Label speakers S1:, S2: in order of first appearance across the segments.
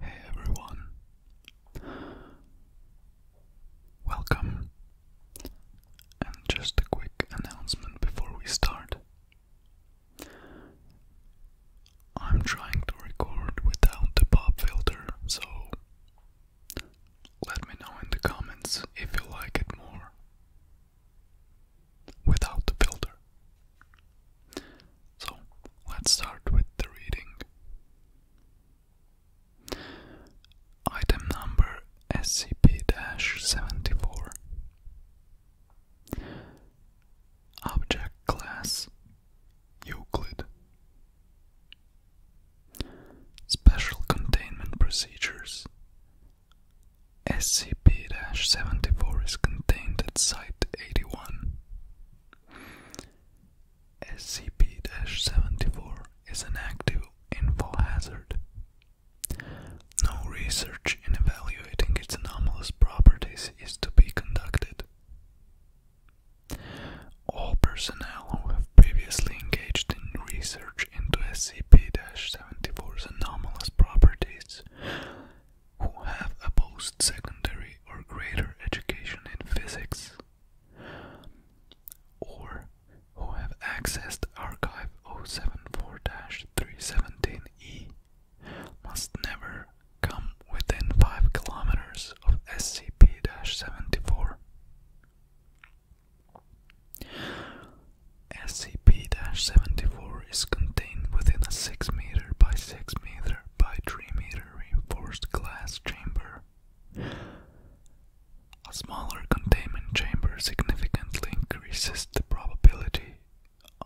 S1: Hey everyone, welcome, and just a quick announcement before we start. I'm trying to record without the pop filter, so let me know in the comments if you like it more without the filter. So let's start with the reading. Item number SCP-74 Object class Euclid Special Containment Procedures SCP SCP-74 is contained at Site-81. SCP-74 is an active infall hazard. No research in evaluating its anomalous properties is to be conducted. All personnel who have previously engaged in research into SCP-74's anomalous properties who have a post-secondary or greater education in physics, or who have accessed Archive 074-317E, must never come within 5 kilometers of SCP-74. SCP-74 is contained within a 6 meter by 6 meter by 3 meter reinforced glass chamber. A smaller containment chamber significantly increases the probability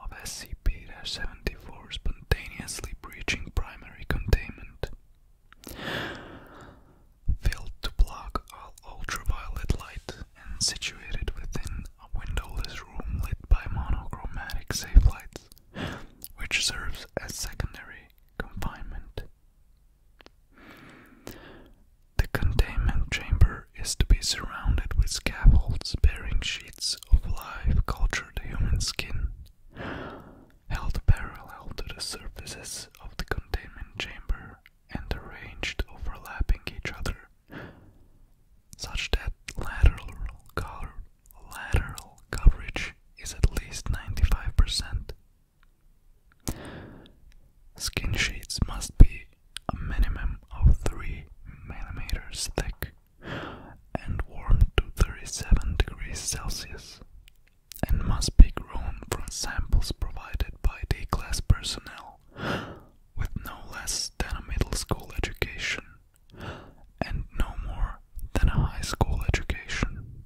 S1: of SCP-74 spontaneously breaching primary containment. Filled to block all ultraviolet light, and situated within a windowless room lit by monochromatic safe lights, which serves as secondary confinement. The containment chamber is to be surrounded with scaffolds bearing sheets of live, cultured human skin, held parallel to the surfaces of the containment chamber and arranged overlapping each other such that lateral color lateral coverage is at least 95%. Skin sheets must be a minimum of 3 millimeters thick and warm to 37 degrees Celsius and must be grown from samples provided by D-class personnel with no less than a middle school education and no more than a high school education.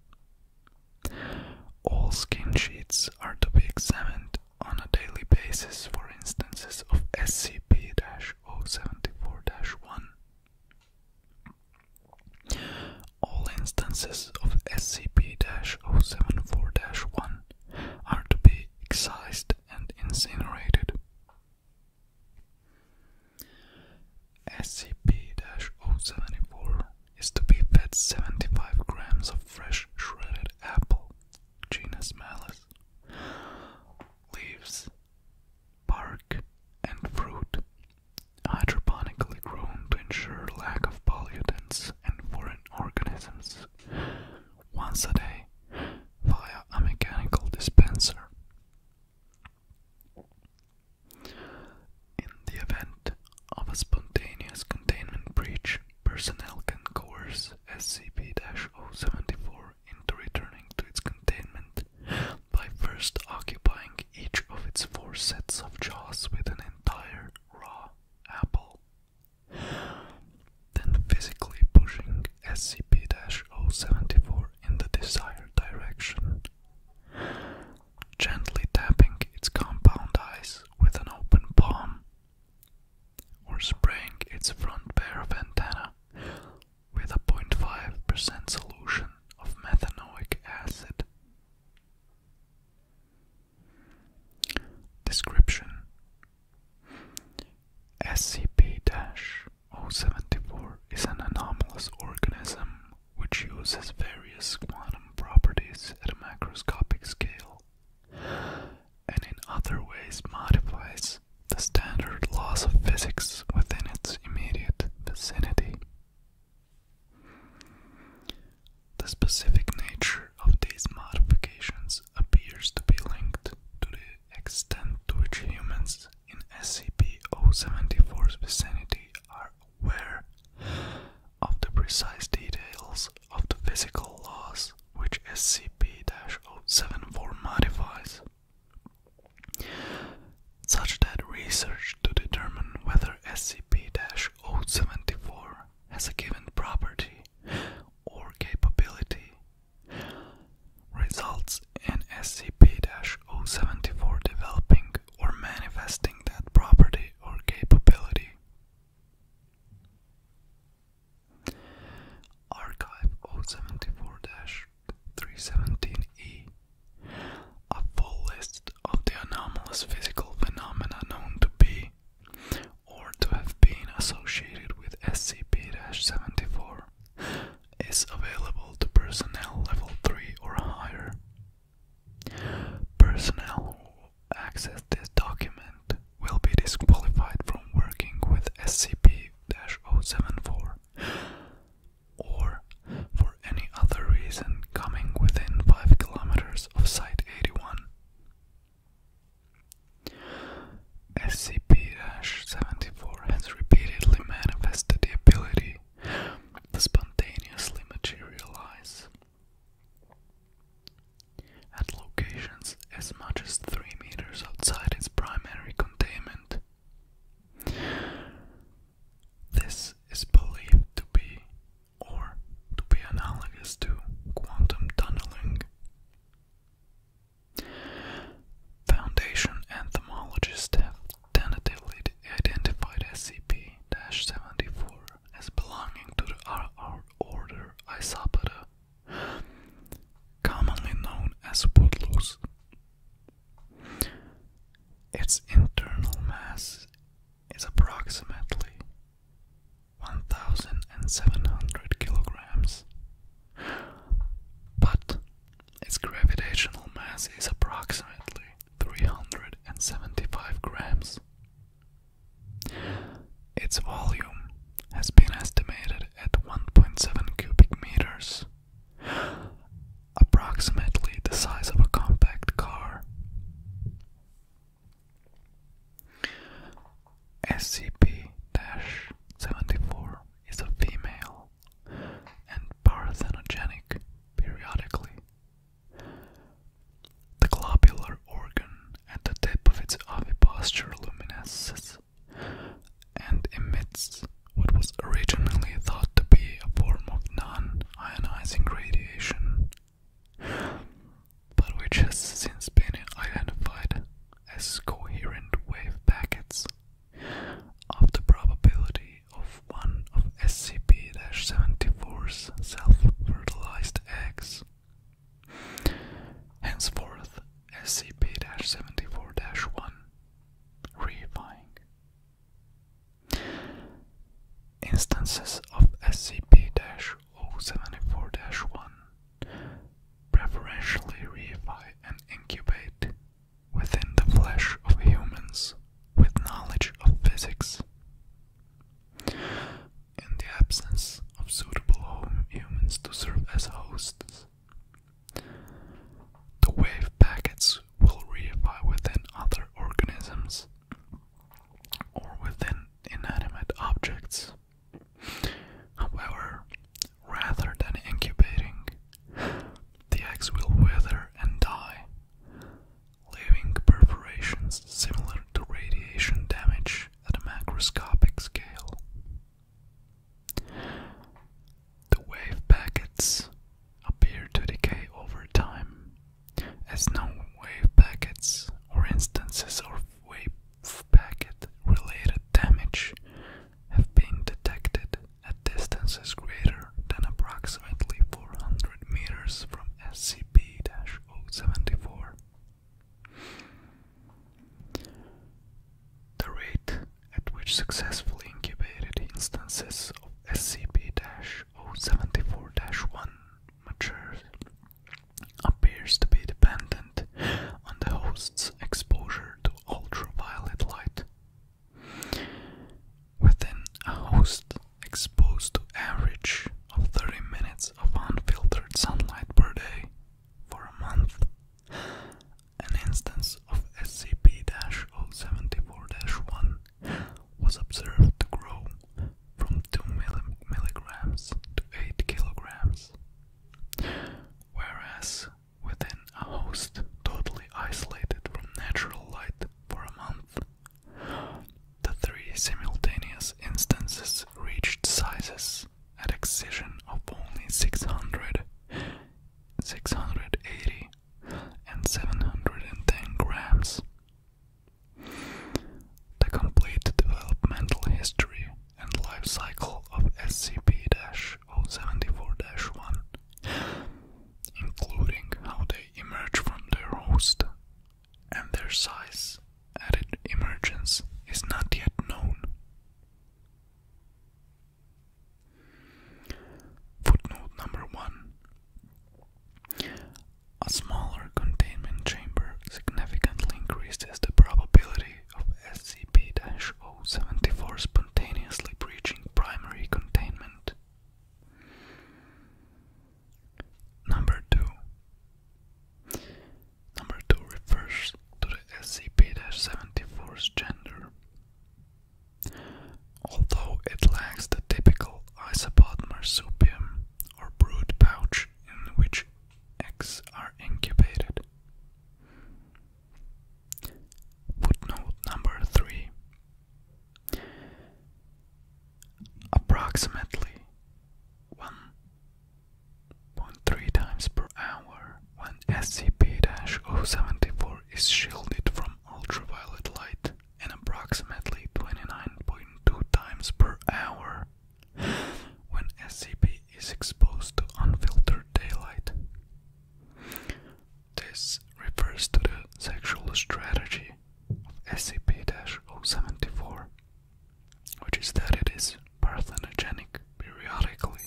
S1: All skin sheets are to be examined on a daily basis for instances of SCP 074 1. All instances of SCP 074 1 are to be excised and incinerated. SCP-074 is to be fed 75 grams of fresh shredded apple, genus Malus, leaves, bark, and fruit, hydroponically grown to ensure lack of pollutants and foreign organisms, once a day via a mechanical dispenser. In the event of a spontaneous containment breach, personnel can coerce SCP 074 into returning to its containment by first occupying each of its four sets of jaws with an entire raw apple then physically pushing SCP-074 in the desired direction, gently tapping its compound eyes with an open palm, or spraying its front pair of antennae with a 0.5% solution of methanoic acid. Description SCP-074 is an anomalous organism which uses various quantum properties at a macroscopic scale and in other ways modifies the standard laws of physics within its immediate vicinity. The specific nature of these modifications appears to be linked to the extent to which humans in SCP-074's vicinity are aware of the precise details of the physical laws which SCP-074 modifies, such that research to determine whether SCP-074 has a given property or capability results in SCP-074 developing or manifesting that property or capability. Archive 074-317E A full list of the anomalous physical phenomena known to be or to have been associated with SCP-74 is available to personnel level 3 or higher. Personnel who access this document will be disqualified from working with SCP-074 or for any other reason coming within 5 kilometers of Site 81 SCP-74 has repeatedly manifested the ability to spontaneously materialize at locations as much as 3 meters outside its primary containment. This is believed to be or to be analogous to quantum tunneling. Foundation entomologists have tentatively identified SCP 74 as belonging to the RR order Isopoda, commonly known as woodlouse. Its internal mass is approximately 1,700 kilograms. But its gravitational mass is approximately 375 grams. Its volume has been estimated at 1.7 cubic meters, approximately the size of a compact car. SCP-74 is a female and parthenogenic periodically. The globular organ at the tip of its ovipositor luminesces and emits what was originally thought to be a form of non-ionizing radiation but which has since been identified as coherent wave packets of the probability of one of SCP-74's self-fertilized eggs. Henceforth, SCP-74-1 Reifying Instances of SCP-074-1 preferentially reify and incubate within the flesh of humans with knowledge of physics. In the absence of suitable home humans to serve as hosts, the wave packets will reify within other organisms or with inanimate objects. However, rather than incubating, the eggs will wither and die, leaving perforations similar to radiation damage at a macroscopic scale. The wave packets appear to decay over time, as no wave packets or instances of wave packet related damage have been detected at distances greater than approximately 400 meters from SCP 074. The rate at which successfully incubated instances of SCP 0 074-1 matures appears to be dependent on the host's exposure to ultraviolet light. Within a host exposed to average of 30 minutes of unfiltered sunlight per day for a month, an instance of SCP-074-1 was observed to grow from 2 milligrams to 8 kilograms, whereas within a host totally isolated from natural light for a month, the three simultaneous instances reached sizes at excision of only 600, 680, and 710 grams. The complete developmental history and life cycle of SCP-074-1, including how they emerge from their host and their size at emergence, is not yet known. Footnote number one A smaller containment chamber significantly increases the probability of SCP 074 spontaneously breaching primary containment. Number 2 Number 2 refers to the SCP 74's gender. Although it lacks the typical isopod marsupium or brood pouch in which eggs are incubated. Footnote number 3 Approximately 1.3 times per hour when SCP 074 is shielded from ultraviolet light and approximately 29.2 times per hour when SCP is exposed to unfiltered daylight. This refers to the sexual strategy of SCP-074, which is that it is parthenogenic periodically.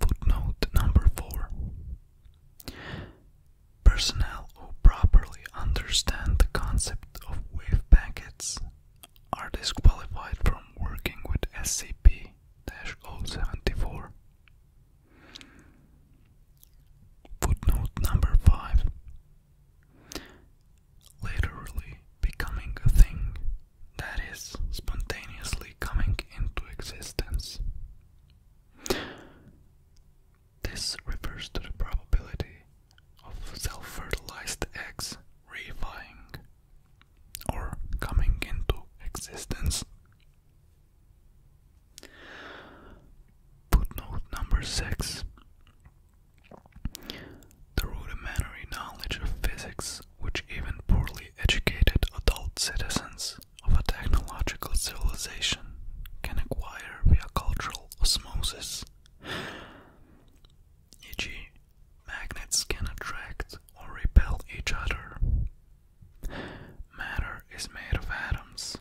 S1: Footnote number 4 Personnel who properly understand the concept of wave packets are disqualified from working with SCP 074. Footnote number 5 Literally becoming a thing that is spontaneously coming into existence. This refers to the probability of self fertilized eggs reifying or coming into existence. Footnote number six the rudimentary knowledge of physics, which even poorly educated adult citizens of a technological civilization can acquire via cultural osmosis, e.g., magnets can attract or repel each other. Matter is made of atoms.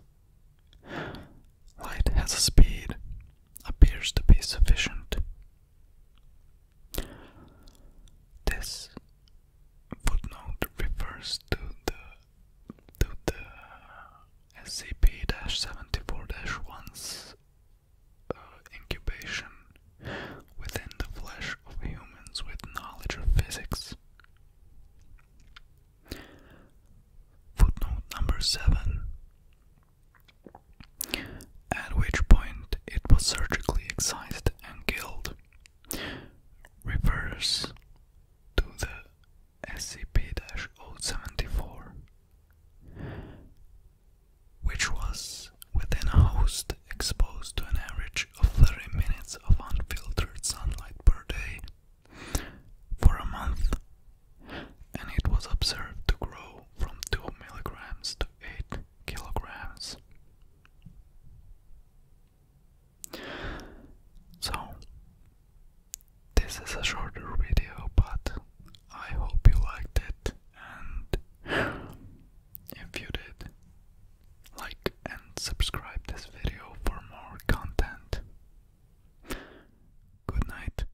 S1: Light has a speed, appears to be sufficient this footnote refers to the to the SCP-74-1's uh, incubation within the flesh of humans with knowledge of physics. Footnote number seven at which point it was surgically excised and killed. Refers to the SCP-074, which was within a host exposed to an average of 30 minutes of unfiltered sunlight per day for a month and it was observed to grow from 2 milligrams to 8 kilograms. So, this is a shorter video, but I hope you liked it, and if you did, like and subscribe this video for more content. Good night.